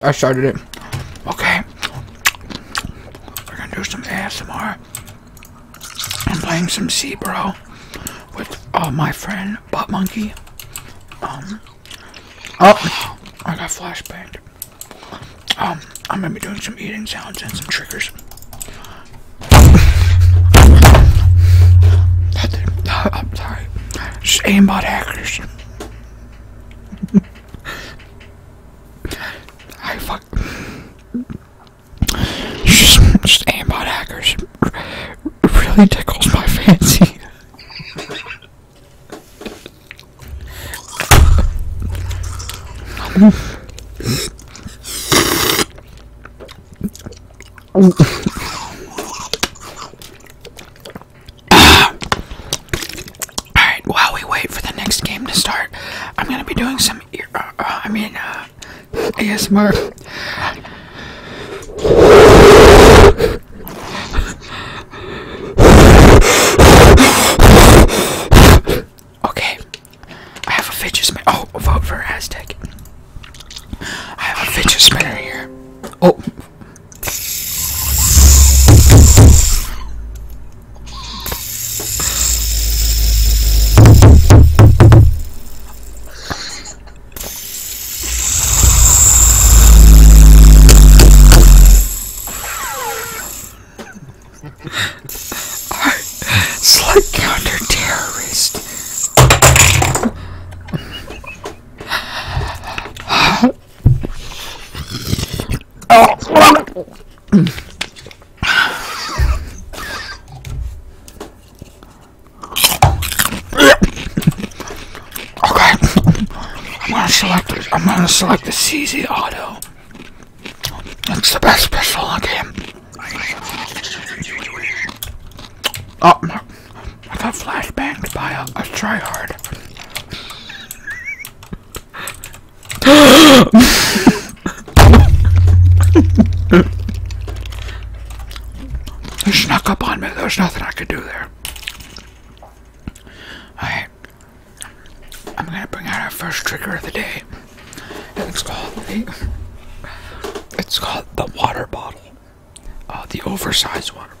I started it. Okay. We're gonna do some ASMR. I'm playing some C, bro, with uh, my friend Butt Monkey. Um. Oh, I got flashbanged. Um, I'm gonna be doing some eating sounds and some triggers. sorry. Just aimbot hackers. I fuck. Just just aimbot hackers really tickles my fancy. Alright, while we wait for the next game to start, I'm gonna be doing some ear. Uh, uh, I mean, uh, ASMR. okay, I have a fidget spinner. Oh, vote for Aztec. I have a fidget spinner here. Oh, Slight counter-terrorist. Oh. okay. I'm gonna select I'm gonna select the CZ Auto. It's the best pistol I the game. Oh, I got flashbanged by a, a tryhard. You snuck up on me. There's nothing I could do there. Alright. I'm gonna bring out our first trigger of the day. And it's called the It's called the water bottle. Uh, the oversized water bottle.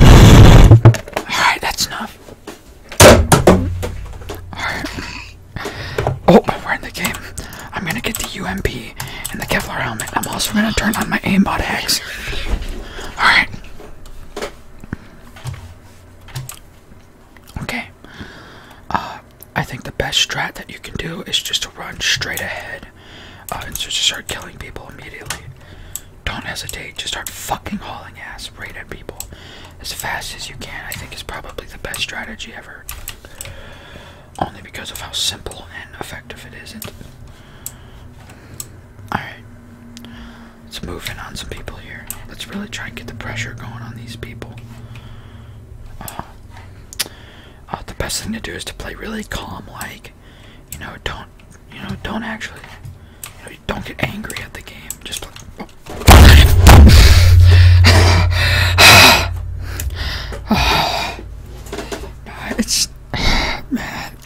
Alright, that's enough. Alright. Oh, we're in the game. I'm gonna get the UMP and the Kevlar helmet. I'm also gonna turn on my aimbot hex. Alright. Okay. Uh, I think the best strat that you can do is just to run straight ahead uh, and so just start killing people immediately. Don't hesitate, just start fucking hauling ass right at people as fast as you can. I think is probably the best strategy ever. Only because of how simple and effective it isn't. Alright. Let's move in on some people here. Let's really try and get the pressure going on these people. Uh, uh, the best thing to do is to play really calm like you know, don't, you know, don't actually, don't get angry at the game. Just. Like, It's man,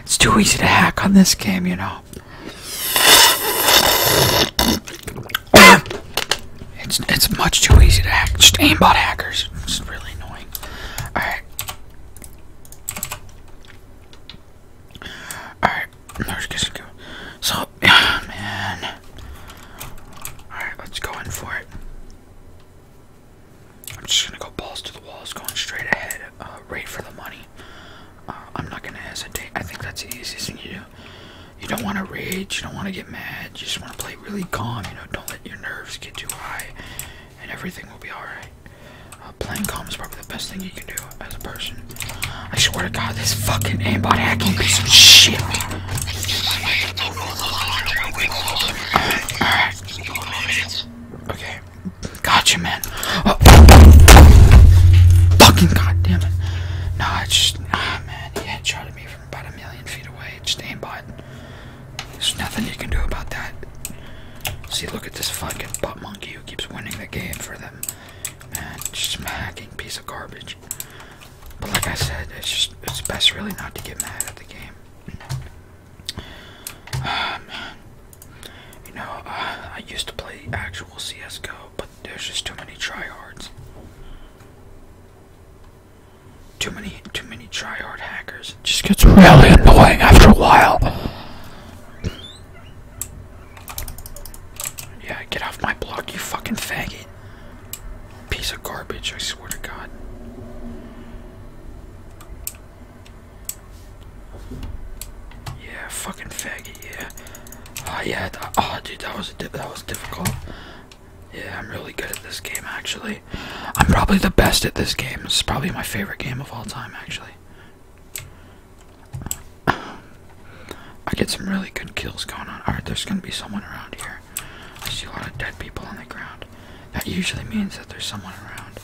it's too easy to hack on this game, you know. It's it's much too easy to hack. Just aimbot hackers. It's really annoying. All right. Alright, there's just go. So, man. Alright, let's go in for it. I'm just gonna go balls to the walls, going straight ahead, uh, for the money. Uh, I'm not gonna hesitate. I think that's the easiest thing you do. You don't wanna rage, you don't wanna get mad, you just wanna play really calm, you know, don't let your nerves get too high and everything will be alright. Uh, playing calm is probably the best thing you can do as a person. I swear to God, this fucking aimbot hacking piece of shit. Alright. Right. Okay. Gotcha, man. Uh, fucking goddamn it. No, it's just. Ah, man. He headshotted me from about a million feet away. Just aimbot. There's nothing you can do about that. See, look at this fucking butt monkey who keeps winning the game for them. Man, smacking piece of garbage. But like I said, it's just it's best really not to get mad at the game. Ah, man. You know, uh, I used to play actual CSGO, but there's just too many tryhards. Too many too many tryhard hackers it just gets really annoying after a while. Yeah, get off my block, you fucking faggot. Piece of garbage, I swear to God. Yeah, fucking faggot, yeah. Oh, uh, yeah, oh, dude, that was, that was difficult. Yeah, I'm really good at this game, actually. I'm probably the best at this game. This is probably my favorite game of all time, actually. I get some really good kills going on. Alright, there's gonna be someone around here. I see a lot of dead people on the ground. That usually means that there's someone around.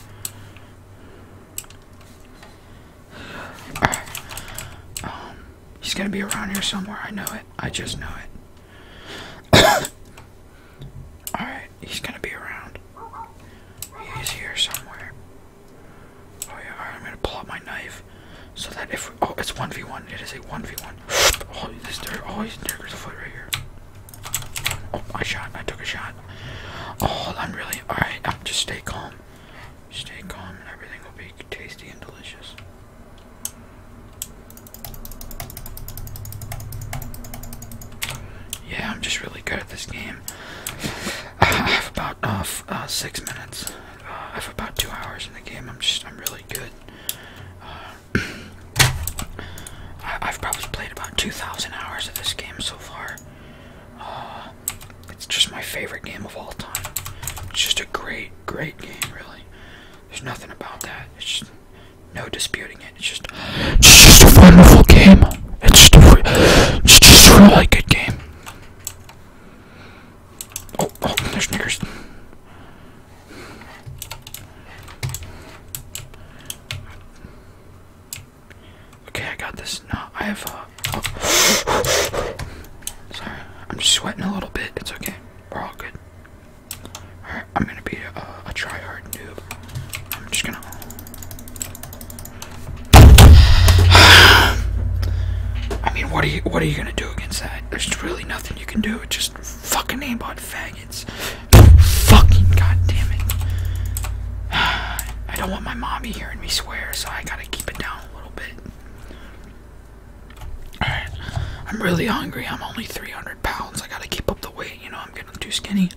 Alright. Um, he's gonna be around here somewhere. I know it. I just know it. Alright, he's gonna be around. He's here somewhere. Oh yeah, I'm gonna pull out my knife. So that if, oh, it's 1v1, it is a 1v1. Oh, this there, oh, he's, there's a foot right here. Oh, I shot, I took a shot. Oh, hold on, really, alright, um, just stay calm. Stay calm and everything will be tasty and delicious. Yeah, I'm just really good at this game. I have about uh, uh six minutes. Uh, I have about two hours in the game. I'm just, I'm really good. Uh, I, have probably played about 2,000 hours of this game so far. it's just my favorite game of all time. It's just a great, great game, really. There's nothing about that. It's just, no disputing it. It's just, it's just a wonderful game. It's just a, it's just a really good game. Oh, oh, there's niggers. Okay, I got this. No, I have. Uh, oh. Sorry, I'm just sweating a little bit. It's okay. We're all good. I'm gonna be a, a try-hard noob. I'm just gonna. I mean, what are you? What are you gonna do against that? There's really nothing you can do. just fucking aimbot faggots. Fucking goddamn it! I don't want my mommy hearing me swear, so I gotta keep it down a little bit. Alright, I'm really hungry. I'm only 300 pounds. I gotta keep up the weight. You know, I'm getting too skinny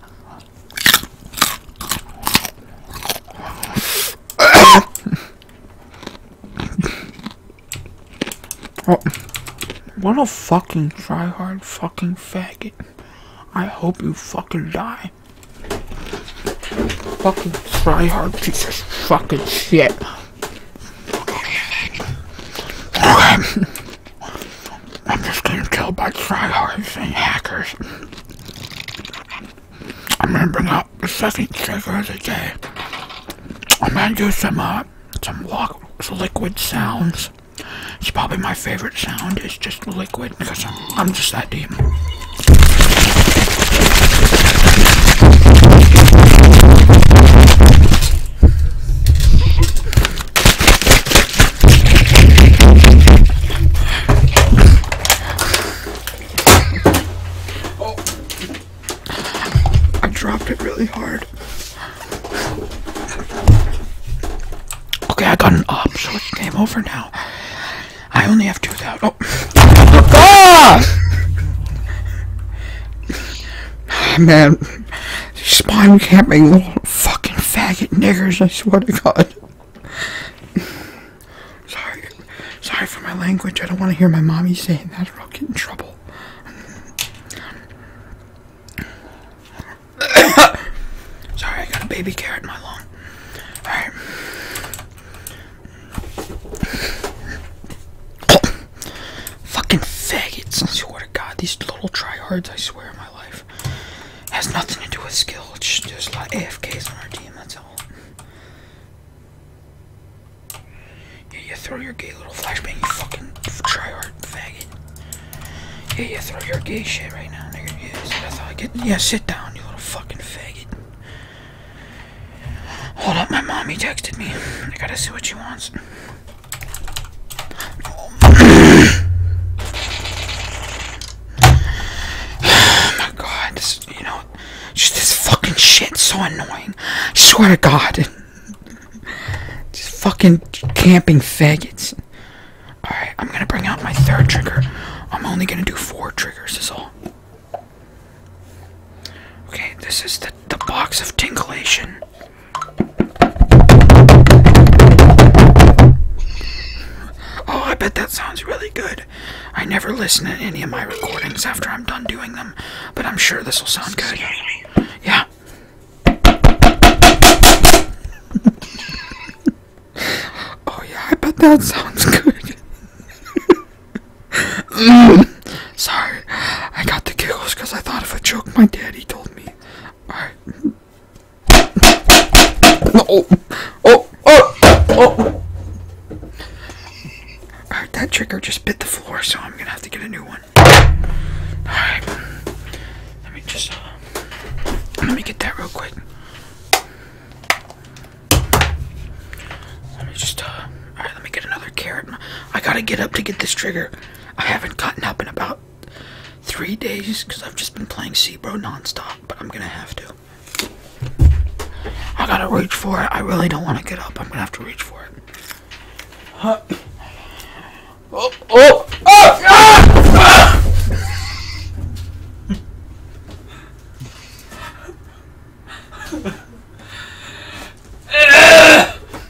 oh, what a fucking tryhard fucking faggot. I hope you fucking die. Fucking tryhard piece of fucking shit. I'm just getting killed by tryhards and hackers. I'm gonna bring up the second trigger of the day. I'm gonna do some uh, some liquid sounds. It's probably my favorite sound. It's just liquid because I'm, I'm just that deep. I dropped it really hard. Okay, I got an op, so it's game over now. I only have 2,000. Oh! Ah! Ah! Man. Spawn camping, little fucking faggot niggers, I swear to God. Sorry. Sorry for my language. I don't want to hear my mommy saying that or I'll get in trouble. Sorry, I got a baby carrot in my lung. Alright. Fucking faggots, I swear to God. These little tryhards, I swear has nothing to do with skill. It's just a lot AFKs on our team. That's all. Yeah, you throw your gay little flashbang. You fucking tryhard faggot. Yeah, you throw your gay shit right now, nigga. Yeah, sit down, you little fucking faggot. Hold up, my mommy texted me. I gotta see what she wants oh my god, this, you know, just this fucking shit so annoying. I swear to god. Just fucking camping faggots. Alright, I'm gonna bring out my third trigger. I'm only gonna do four triggers, is all. Okay, this is the, the box of tinglation. Oh, I bet that sounds really good. I never listen to any of my recordings after I'm done doing them, but I'm sure this will sound good. Yeah. oh, yeah, I bet that sounds good. Sorry, I got the giggles because I thought if I choked my daddy told me. Alright. Oh, oh, oh, oh. Alright, that trigger just bit the floor, so I'm gonna have to get a new one. Alright. Let me just. Uh, let me get that real quick. Let me just. Uh, Alright, let me get another carrot. I gotta get up to get this trigger. I haven't gotten up in about about three days because I've just been playing Seabro nonstop, but I'm gonna have to. I gotta reach for it. I really don't want to get up. I'm gonna have to reach for it. Huh. Oh, oh, oh! Ah! Ah!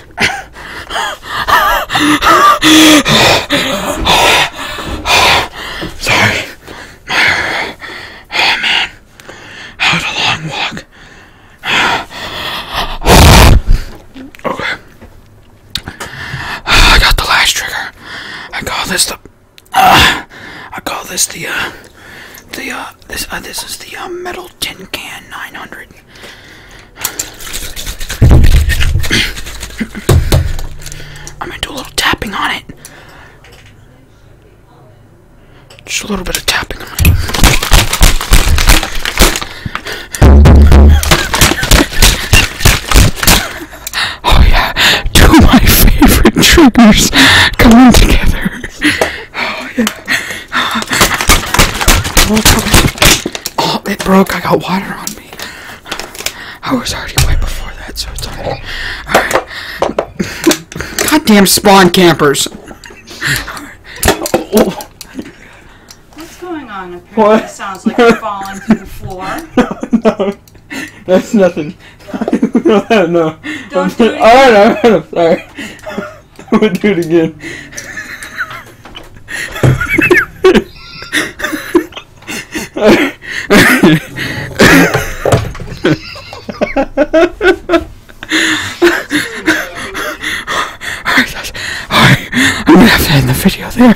Sorry. oh man. That was a long walk. okay. I got the last trigger. I call this the. Uh, I call this the. Uh, the uh, this this is the metal tin can 900. I'm gonna do a little tapping on it. Just a little bit of tapping on it. Oh yeah, two of my favorite triggers coming together. Oh yeah. Oh, it broke. I got water on. I was already wet before that, so it's alright. Oh. Alright. Goddamn spawn campers. Right. Oh. What's going on? Apparently what? it sounds like you're falling through the floor. no, no. That's nothing. no, no. Don't i do it. Alright, alright, I'm sorry. I'm gonna do it again. I'm gonna have to end the video there.